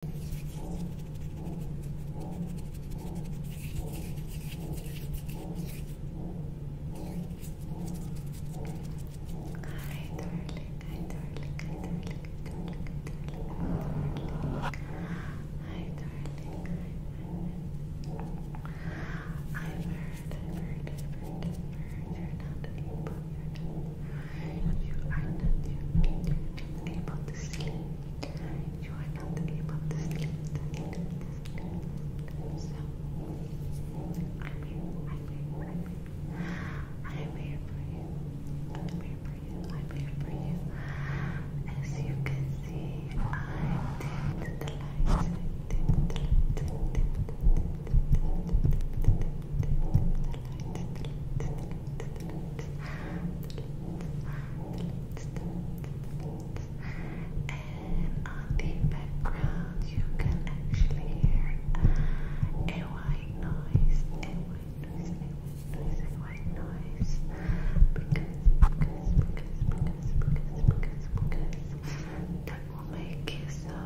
I've heard, I've heard, I've heard, I've heard, you're not evil, you you are not able to sleep. You are not able to sleep. I'm here. I'm here. I'm I'm here for you. I'm here for you. I'm here for you. As you can see, I dimmed the lights. And on the background, you can actually hear a white noise, a white noise, a white noise, Because, because, because, because, because, because, because, that will make you so,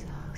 so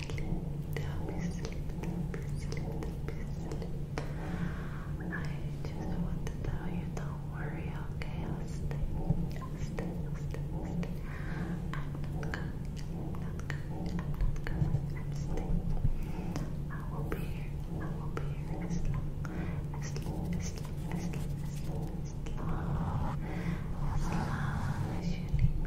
slipped, happy slipped, happy slipped, happy slipped. I just want to tell you, don't worry, okay? I'll stay, I'll stay, I'll stay, I'll stay. I'm not coming, I'm not coming, I'm not coming, I'm staying. I will be here, I will be here as long, as long, as long, as long, as you need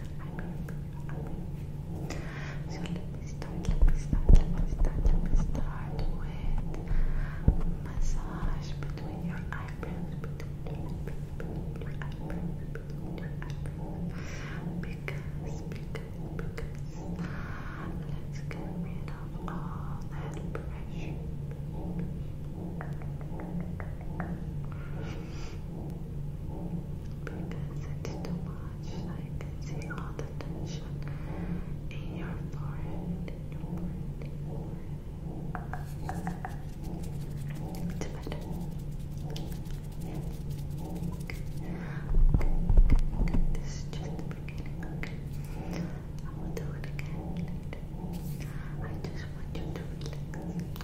mean, so let me start, let me start, let me start, let me start with massage between your eyebrows, between between your eyebrows, between your eyebrows, because, let's get rid of all that pressure because it's too much. I can see all the tension in your forehead. It's better. Okay. Okay, okay, This is just the beginning. Okay. I will do it again I just want you to relax.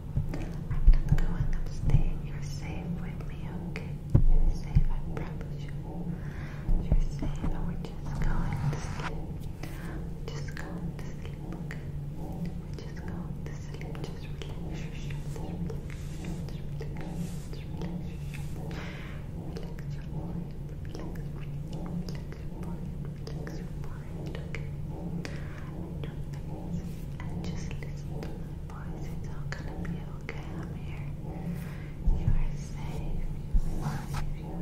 I'm going and staying. You're safe with me, okay? You're safe, I promise you. You're safe, we're just going to sleep. Just going to sleep, okay? We're just going to sleep. Just relax your shoulders, relax your shoulders, relax your shoulders, relax your mind, relax, relax your mind, relax your mind, okay? And just listen to my boys, it's all gonna be okay. I'm here. You are safe. You are safe. You are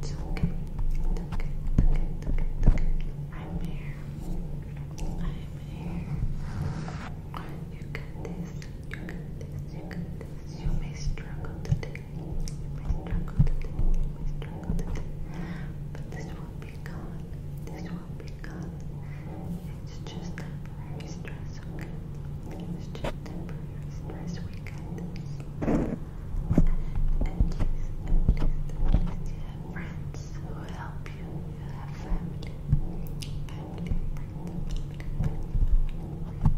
safe. It's okay. It's okay. It's okay. It's okay. I'm here. I'm here. You got this. You got this. You got this. You may struggle may struggle to do, may struggle but this will be gone, this will be gone, it's just temporary stress, okay, it's just temporary stress, we get and at least, you have friends who help you, you have family, family,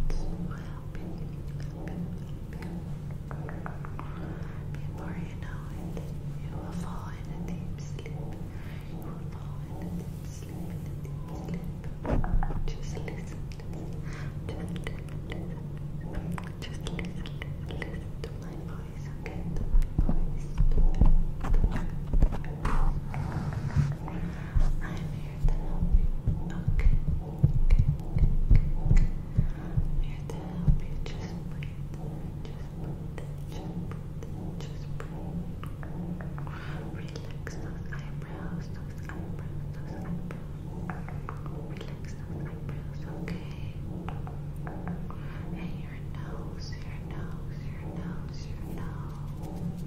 friends, help you. Before you know it, you will fall in deep sleep. You will fall in deep sleep, Just listen, Just listen, Just listen, listen to my voice, okay? I'm here to help you. Just breathe. Just breathe. Just breathe. Just breathe. Relax those eyebrows. Those eyebrows. Those eyebrows. Relax those eyebrows. Okay. And your nose. Your nose. Your nose. Your nose.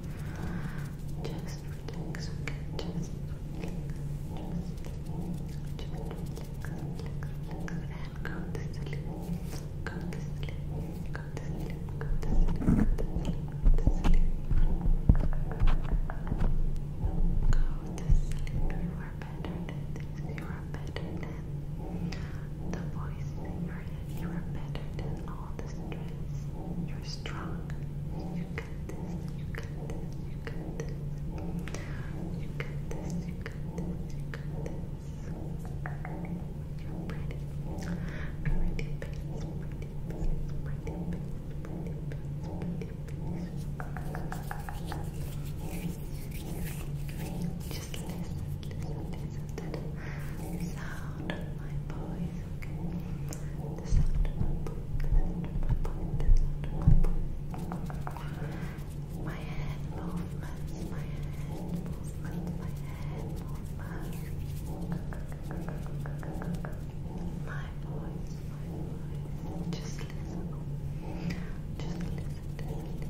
Just relax, okay? Just relax, just, just relax, relax, relax, and go to sleep. Go to sleep, go to sleep, go to sleep, go to sleep, go to sleep. Go to sleep, you are better than this, you are better than the voice in your head, you are better than all the stress. You're strong, you got this, you got this, you got this. You got this, you got this, you got this. You're pretty. Pretty face, pretty face, pretty face, pretty face, pretty face. Just listen, listen, listen to the sound of my voice. The sound my book, the my head movements, my head movements, my head movements. My voice, my voice. Just listen. Just listen,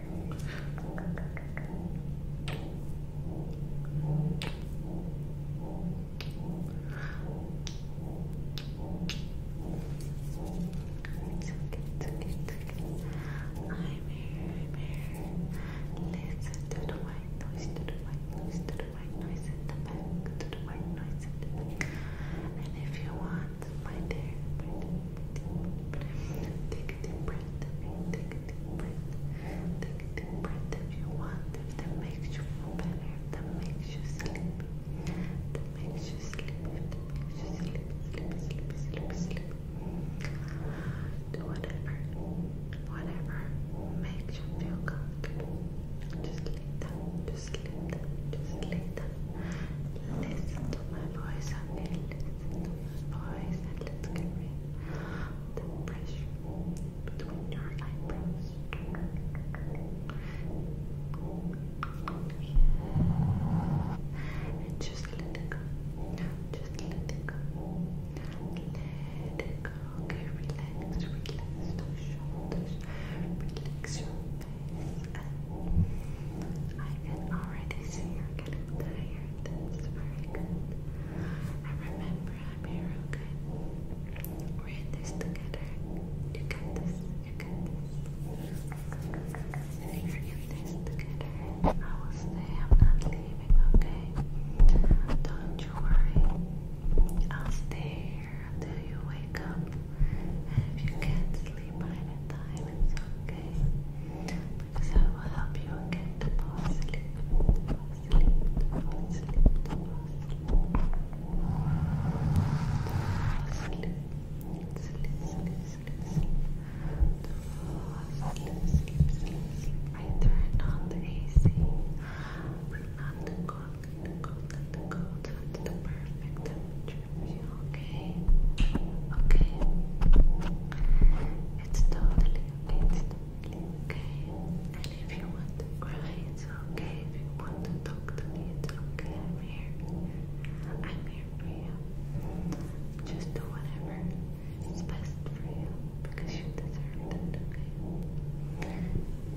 It's okay, it's okay, it's okay. I'm here, here. Listen to the white noise, to the white noise, to the white noise in the back, to the white noise in the back. And if you want, my dear, Take a deep breath. Take deep breath. Take deep breath if you want. If that makes you feel better, that makes you sleep. That makes you sleep. that makes you sleep, sleep, sleep, sleep, sleep. Do whatever, whatever makes you feel comfortable. Just lay Just lay Just lay Listen to my voice, Anil let's get rid of the pressure between your eyebrows. And just let it go. Just let it go. Let it go. Okay, relax, relax those shoulders, relax your face. And I can already see you're getting tired this. remember, I'm here, okay? We're in this together. You got this. You got this. And are in this together, I will stay. I'm not leaving, okay? Don't you worry. I'll stay here until you wake up. And if you can't sleep by the time, it's okay because that will help you get to fall asleep, fall asleep, fall asleep, fall asleep, sleep, sleep, sleep, sleep, sleep, sleep, sleep. I turn on the AC, not the cold, not the cold, not the cold, not the perfect temperature okay, okay. It's totally it's totally okay. And if you want to cry, it's okay. If you want to talk to me, it's okay. I'm here. I'm here for you. Just do whatever is best for you because you deserve it, okay?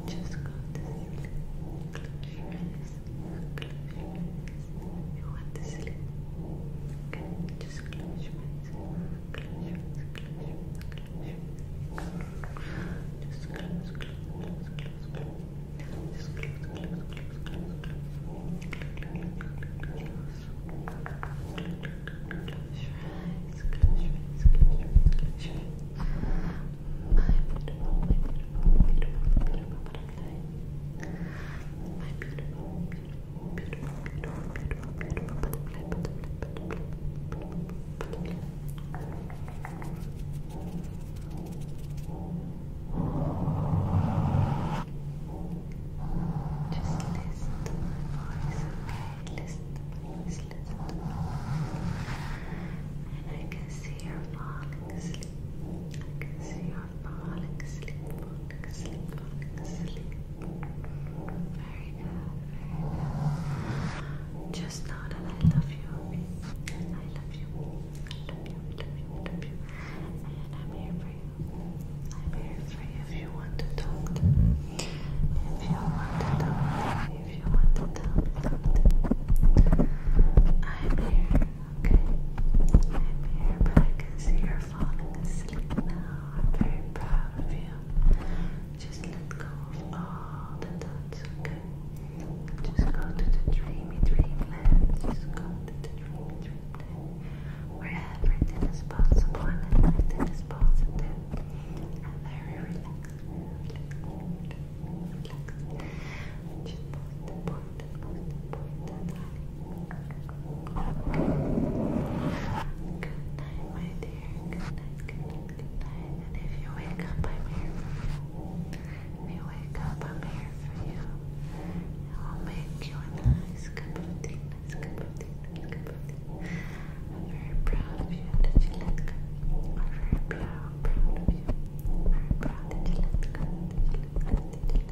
Just go to sleep. Close your you want to sleep? Okay, just close your eyes. Close your eyes, close your eyes, close your eyes. Just close, close, close, close, close. Just close, close, close, close, close. Close your eyes, close your eyes, close your eyes, close your eyes. My beautiful, my beautiful, beautiful, beautiful, beautiful. My beautiful, beautiful, beautiful, beautiful, beautiful, beautiful butterfly, butterfly, butterfly, butterfly, butterfly. Just listen to my voice, okay? Listen to my voice, listen to my And I can see you're falling asleep. I can see you're falling asleep, falling asleep, falling asleep. Very good, very good. Just know that I love you. I love you. I love you, I love you, I love you. And I'm here for you. I'm here for you if you want to talk to me. If you want to talk to me, if you want to talk to me. I'm here. Okay. I'm here, but I can see you're falling asleep now. I'm very proud of you. Just let go of all the thoughts, okay? Just go to the dreamy dreamland. Just go to the dreamy dreamland. Where everything is possible and everything is positive. And very relaxed night, my dear. Good night, good And if you wake up, I'm here for you. If you wake up, I'm here for you. I'll make you a nice cup of tea, nice cup of tea, nice cup of tea. I'm very proud of you that you let go. I'm very proud, proud of you. very proud that you let go, that you let go,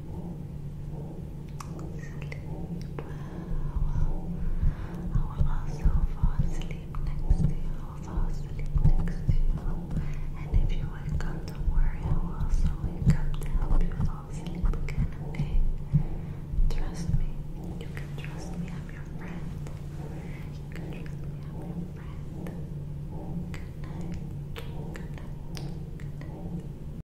Sleep I will also fall asleep next to you. I will fall asleep next to you. And if you wake up, don't worry, I will also wake up to help you fall asleep okay? Trust me. You can trust me, I'm your friend. You can trust me, I'm your friend. Good night. Good night. Good night.